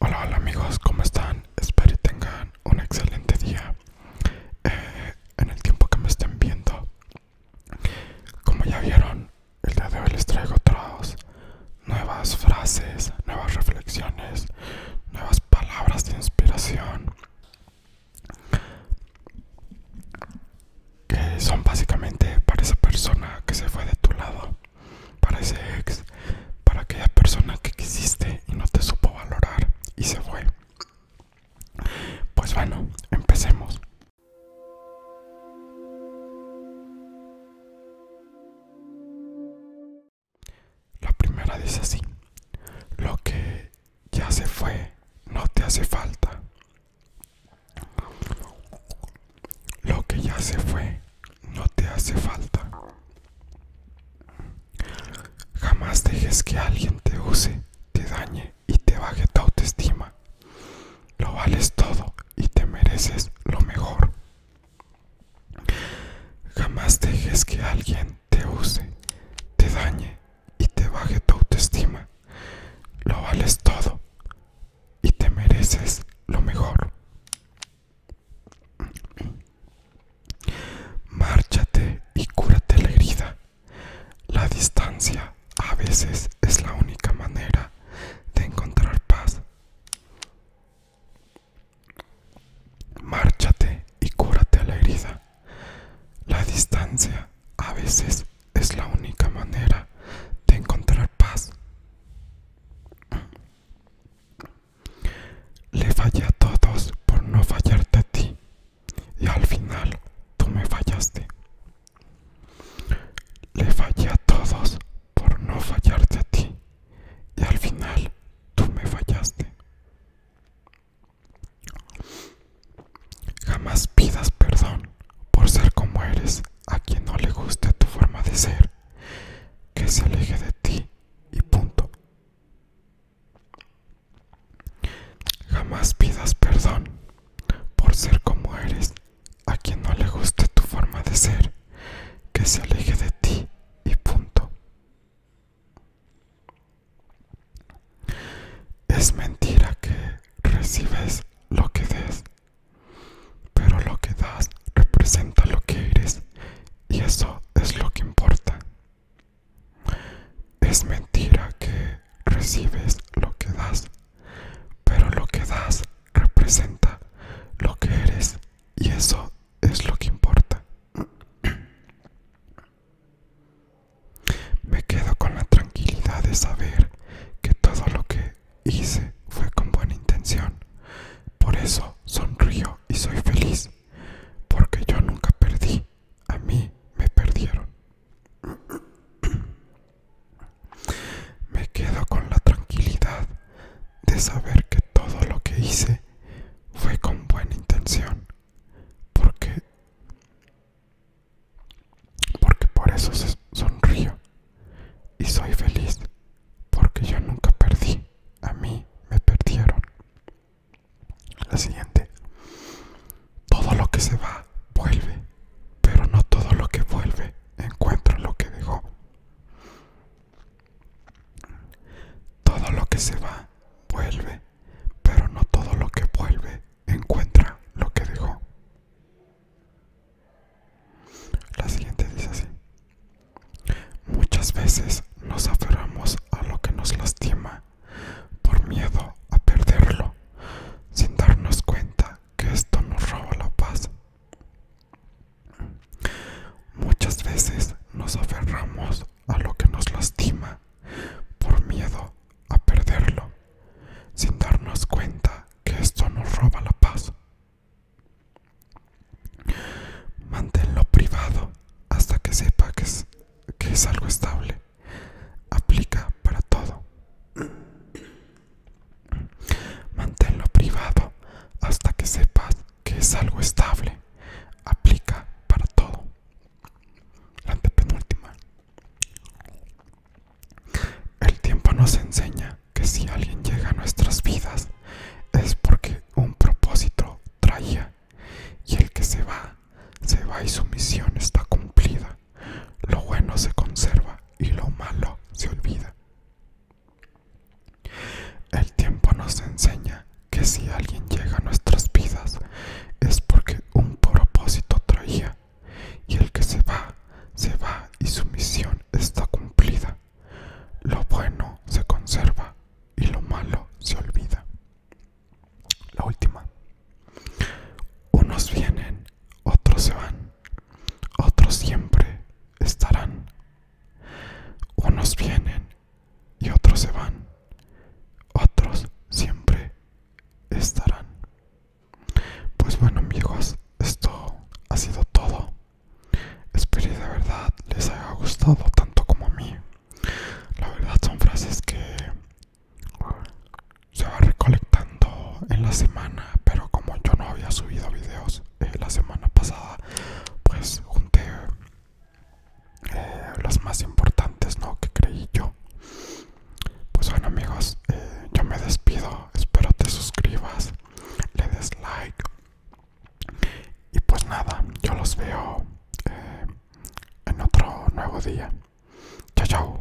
Hola, hola amigos, ¿cómo están? Espero y tengan un excelente día. Eh, en el tiempo que me estén viendo, como ya vieron, el día de hoy les traigo otros nuevas frases, nuevas reflexiones, nuevas palabras de inspiración. Que son básicamente para esa persona que se fue de tu lado para ese ex, para aquella persona que quisiste y no te supo valorar y se fue. Pues bueno, empecemos. La primera dice así, lo que ya se fue no te hace falta, lo que ya se fue no te hace falta. Jamás dejes que alguien te use, te dañe y te baje tu autoestima. Lo vales todo y te mereces lo mejor. Jamás dejes que alguien te use, te dañe y te baje tu autoestima. Lo vales todo y te mereces lo mejor. Márchate y cúrate la herida. La distancia a veces es la única manera de encontrar paz. Márchate y cúrate la herida. La distancia a veces es la única manera de encontrar paz. Le fallé a todos por no fallarte a ti y al final tú me fallaste. Le fallé a todos por no fallarte a ti y al final tú me fallaste. Jamás pidas perdón por ser como eres a quien no le guste tu forma de ser, que se aleje de ti y punto. Jamás pidas perdón por ser como eres a quien no le guste tu forma de ser, que se aleje de ti y punto. Es mentira que recibes lo que des, pero lo que das representa lo que eres y eso es lo que importa. Es mentira que recibes lo que das, pero lo que das representa lo que eres y eso es lo que importa. Me quedo con la tranquilidad de saber que todo lo que hice fue con buena intención. Por eso sonrío y soy feliz, porque yo nunca perdí, a mí me perdieron. Me quedo con la tranquilidad de saber que todo lo que hice fue con buena intención, porque porque por eso sonrío y soy feliz, porque yo nunca perdí, a mí me perdieron. La siguiente. Todo lo que se va vuelve, pero no todo lo que vuelve encuentra lo que dejó. Todo lo que se va vuelve, pero no todo lo que vuelve encuentra lo que dejó. La siguiente dice así. Muchas veces nos aferramos a lo que nos lastima por miedo a perderlo, sin darnos cuenta que esto nos roba la paz. Muchas veces nos aferramos a lo que nos lastima por miedo a perderlo, sin darnos cuenta que esto nos roba la paz. Manténlo privado hasta que sepa que es, que es algo estable. Aplica para todo. Manténlo privado hasta que sepas que es algo estable. Aplica para todo. La antepenúltima. El tiempo nos enseña que si alguien llega a nuestras vidas es porque un propósito traía y el que se va, se va y su misión está cumplida. Lo bueno se conserva y lo malo se olvida. El tiempo nos enseña que si alguien llega a nuestras vidas es porque un propósito traía y el que se va, se va y su misión está cumplida. Lo bueno se conserva y lo malo se olvida. La última. Unos vienen, otros se van, otros siempre estarán. Unos vienen y otros se van, otros siempre estarán. Pues bueno amigos, esto ha sido todo. Espero de verdad les haya gustado tanto como a mí. La verdad son frases que se va recolectando en la semana pero como yo no había subido videos eh, la semana pasada pues junté eh, Las más importantes no que creí yo pues bueno amigos eh, yo me despido espero te suscribas le des like y pues nada yo los veo en otro nuevo día. Chao, chao.